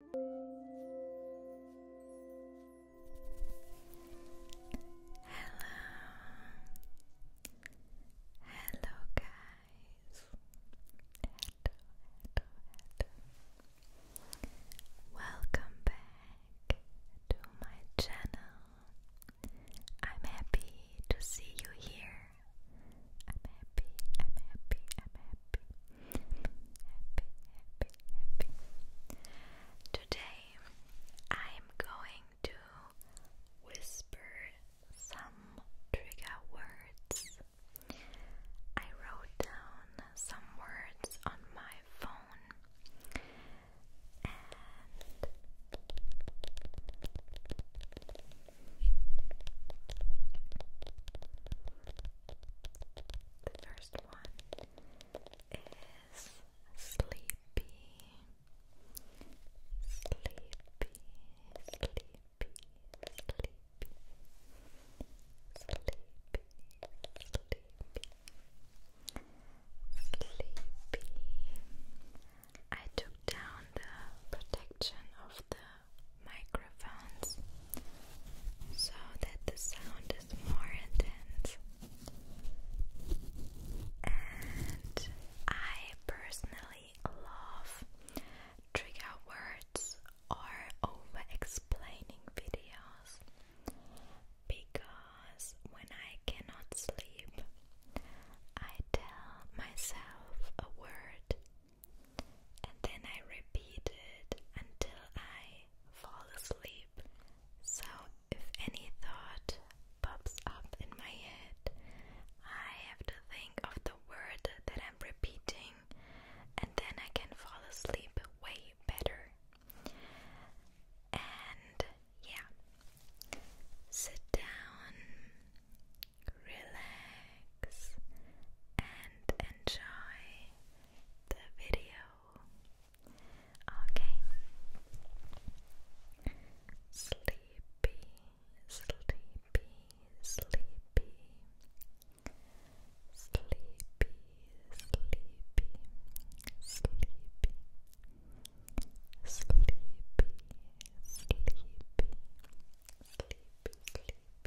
hello hello hello welcome back to my channel I'm happy to see you here I'm happy I'm happy I'm happy happy, happy. Today I'm going to whisper some trigger words. I wrote down some words on my phone the first one is sleepy, sleepy, sleepy, sleepy, sleepy, sleepy. Sleepy. I took down the protection of the microphones so that the sound is more intense. And I personally love trigger words or over explaining videos because when I cannot sleep, I tell myself a word and then I repeat it until I fall asleep. So, if any thought pops up in my head, I have to think of the word that I'm repeating, and then I can fall asleep way better. And yeah, sit down, relax, and enjoy the video. Okay. Sleepy, sleepy, sleepy. Sleepy, sleepy, sleepy. Sleepy, sleepy, sleepy,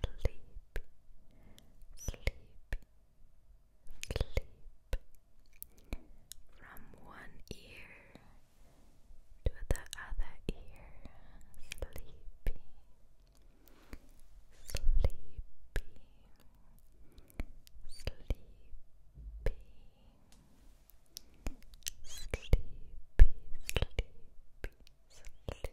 sleepy, sleepy, sleep from one ear to the other ear, sleepy, sleepy, sleepy, sleepy, sleepy, sleepy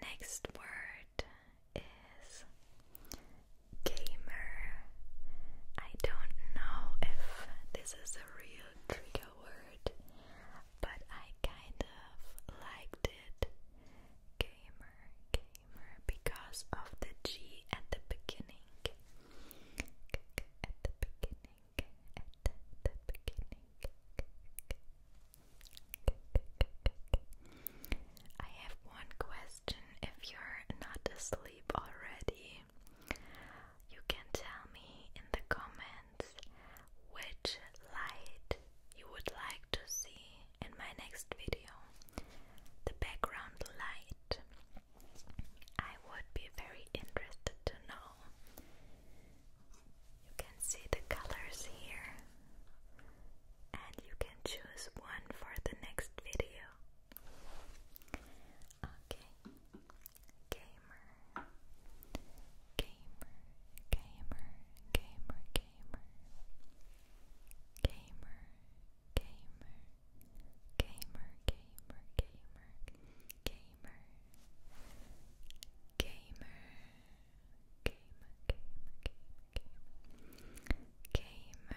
Next word is gamer. I don't know if this is a real trigger word, but I kind of liked it. Gamer, gamer, because of the G at the beginning at the beginning, at the beginning. I have one question. If you're not asleep already, you can tell me in the comments which light you would like to see in my next video. The background light I would be very interested to know. You can see the colors here, and you can choose one for the next video. Okay, gamer, gamer, gamer, gamer, gamer, gamer, gamer gamer, gamer, gamer, gamer, gamer, gamer, gamer, gamer, gamer, gamer, gamer, gamer, gamer. Gamer,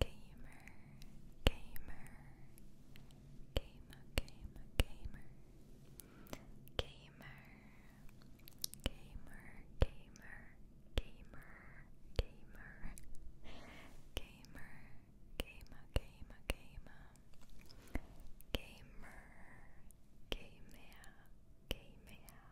gamer, gamer, gamer, gamer, gamer, gamer, gamer, gamer, gamer, gamer, gamer, gamer, gamer, gamer, gamer, gamer, gamer, gamer,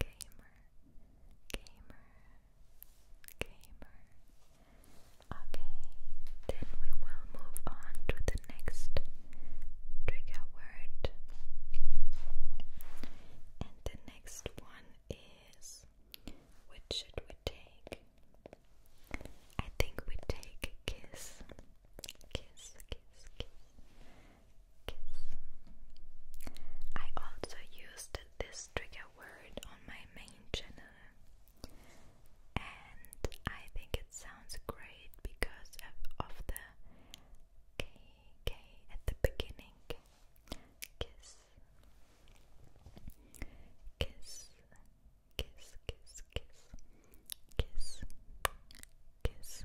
gamer, gamer, gamer. Okay, then we will move on to the next trigger word. And the next one is which should we take? I think we take kiss. Kiss, kiss, kiss kiss. I also used this trigger word on my main channel, and I think it sounds great because of, of the K K at the beginning. Kiss, kiss, kiss, kiss, kiss, kiss, kiss, kiss,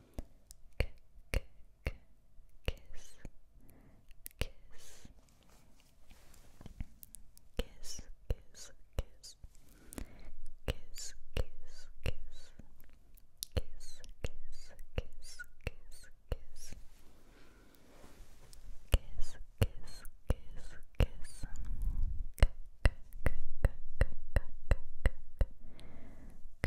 K -k -k kiss, kiss, kiss, kiss, kiss, kiss, kiss, kiss, kiss, kiss, kiss, kiss, kiss. Kiss, kiss, kiss, kiss. K, k, k, k, k, k, k, k, k,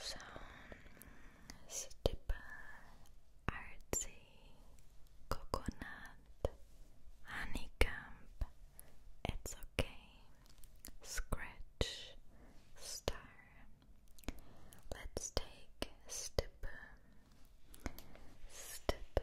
so Stipa, Artsy, Coconut, Honeycomb, It's Okay, Scratch, Star. Let's take Stipa. Stipa.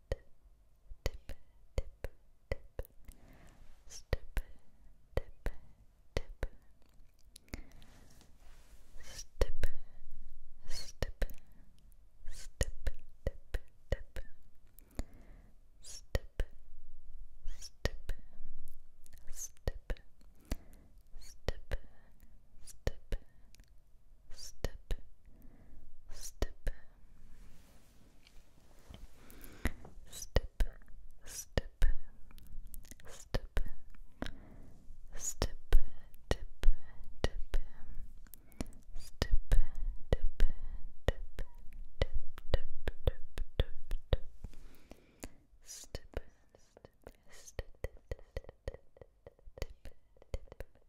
dip, dip, dip, stip, dip, dip, stip, stip, stip, dip, dip, stip, stip, stip, stip, stip, stip, stip. Step, step, step, step, tip, tip, step, tip, tip, tip, tip, tip, step, step, step,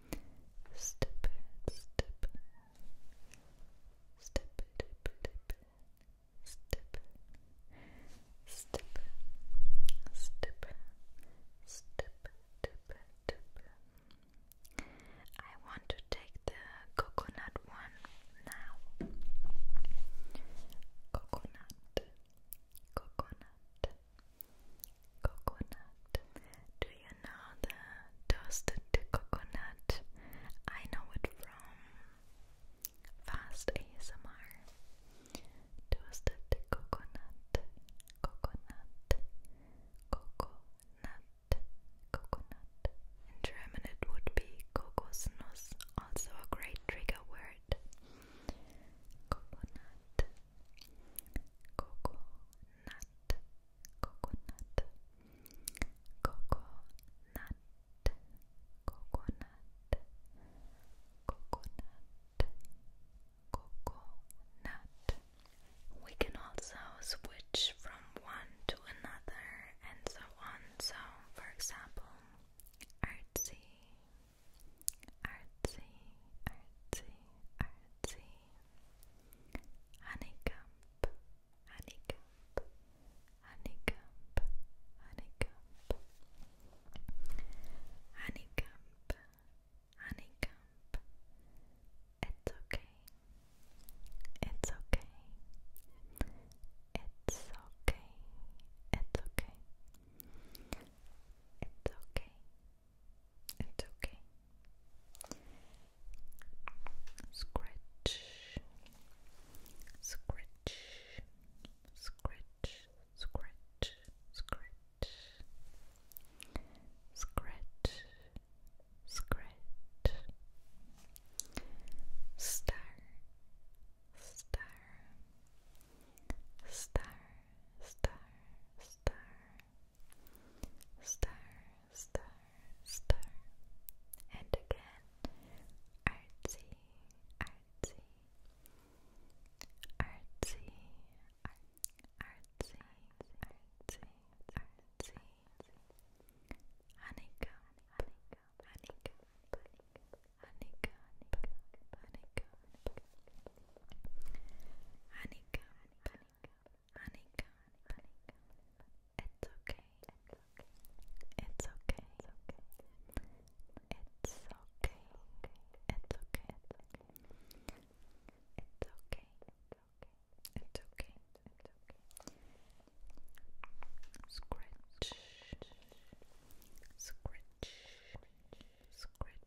Stupid, stupid. Stupid, stupid, stupid. Stupid, stupid, stupid, stupid. I want to take the coconut one now. Coconut, coconut, Coconut. Do you know the toasted coconut? I know it from Fast ASMR. Toasted coconut, coconut, coconut, coconut. In German, it would be Kokosnuss, also a great trigger word. Coconut, coconut, coconut, coconut, coconut, coconut, coconut. We can also switch from one to another and so on. So, for example, artsy, artsy, artsy, artsy, Honeycomb, honeycomb, honeycomb, honeycomb, honeycomb, honeycomb. It's okay. It's okay. It's okay. It's okay. It's okay. It's okay. Scratch, scratch, scratch, scratch, scratch, scratch, scratch, star, star, star, star, star star, star, star, and again, artsy, artsy, artsy, artsy, artsy, artsy, honeycomb, honeycomb, honeycomb, honeycomb, honeycomb, honeycomb, honeycomb, honeycomb, Anika, Anika, it's okay, it's okay, it's okay, it's okay, it's okay, it's okay, it's okay, it's okay, it's okay. Scratch, scratch, scratch,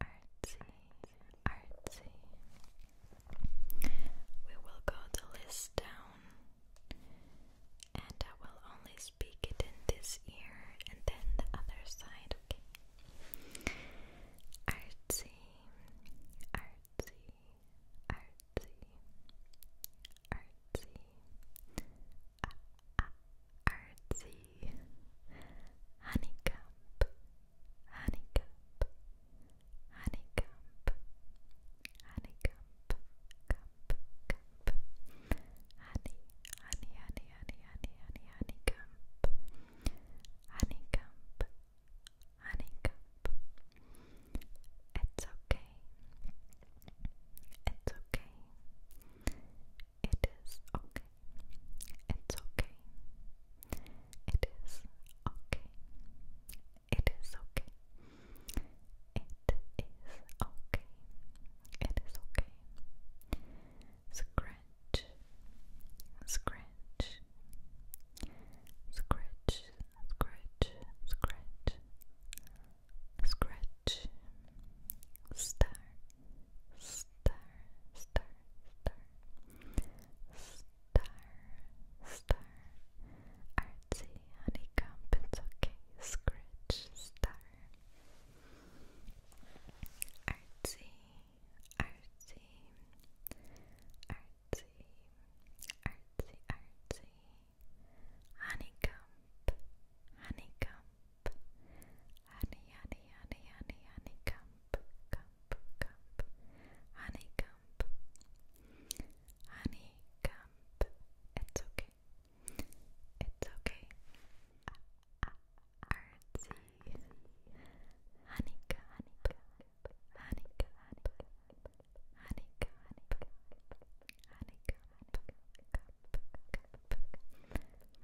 Artsy, artsy. We will go the list down, and I will only speak it in this ear and then the other side, okay? Artsy, artsy, artsy, artsy. Ah, ah, artsy, honeycomb, honeycomb, honeycomb, honeycomb, comb, comb, honey, honey, honey, honey, honey, honey, honeycomb, honeycomb, honeycomb. It's okay. It's okay. It is okay. It's okay. It is okay. It is okay. It is okay. It is okay. Scratch. Scratch. Scratch. Scratch. Scratch. Scratch. Star. Star. Star star, star. Artsy, honeycomb, it's okay. Scratch, star. Artsy, artsy, artsy, artsy, artsy. Honeycomb, honeycomb honey, honey, honey, honey, honeycomb, comb, comb, honeycomb, honeycomb. It's okay. It's okay. Artsy, honeycomb, honeycomb, honeycomb, honeycomb, honeycomb, cup, cup,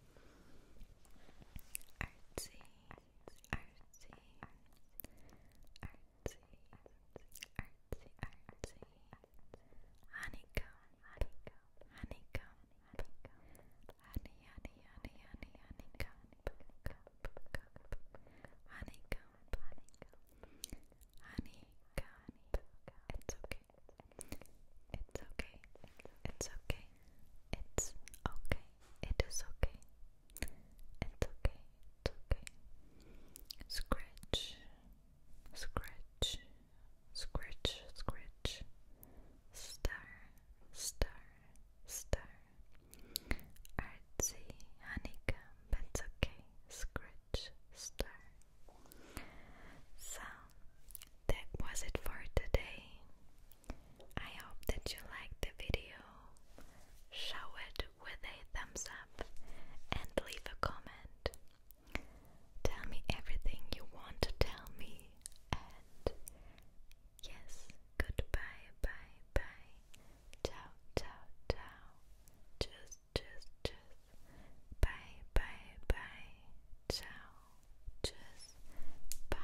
artsy, artsy, artsy, artsy, artsy, honeycomb, honeycomb, honeycomb, honey, honey, honey, honey, honeycomb, honeycomb, honeycomb, honeycomb, it's okay. It's okay. It's okay. It's okay. It is okay. It's okay. It's okay. Scratch. Scratch. Scratch. Scratch. Star. Star. Star. Artsy. Honeycomb. It's okay. Scratch. Star. So that was it for today. I hope that you liked the video. Show it with a thumbs up and leave a comment. Tell me everything you want to tell me. And yes, goodbye, bye, bye. Ciao, ciao, ciao. Just, just, just. Bye, bye, bye. Ciao. Just Bye.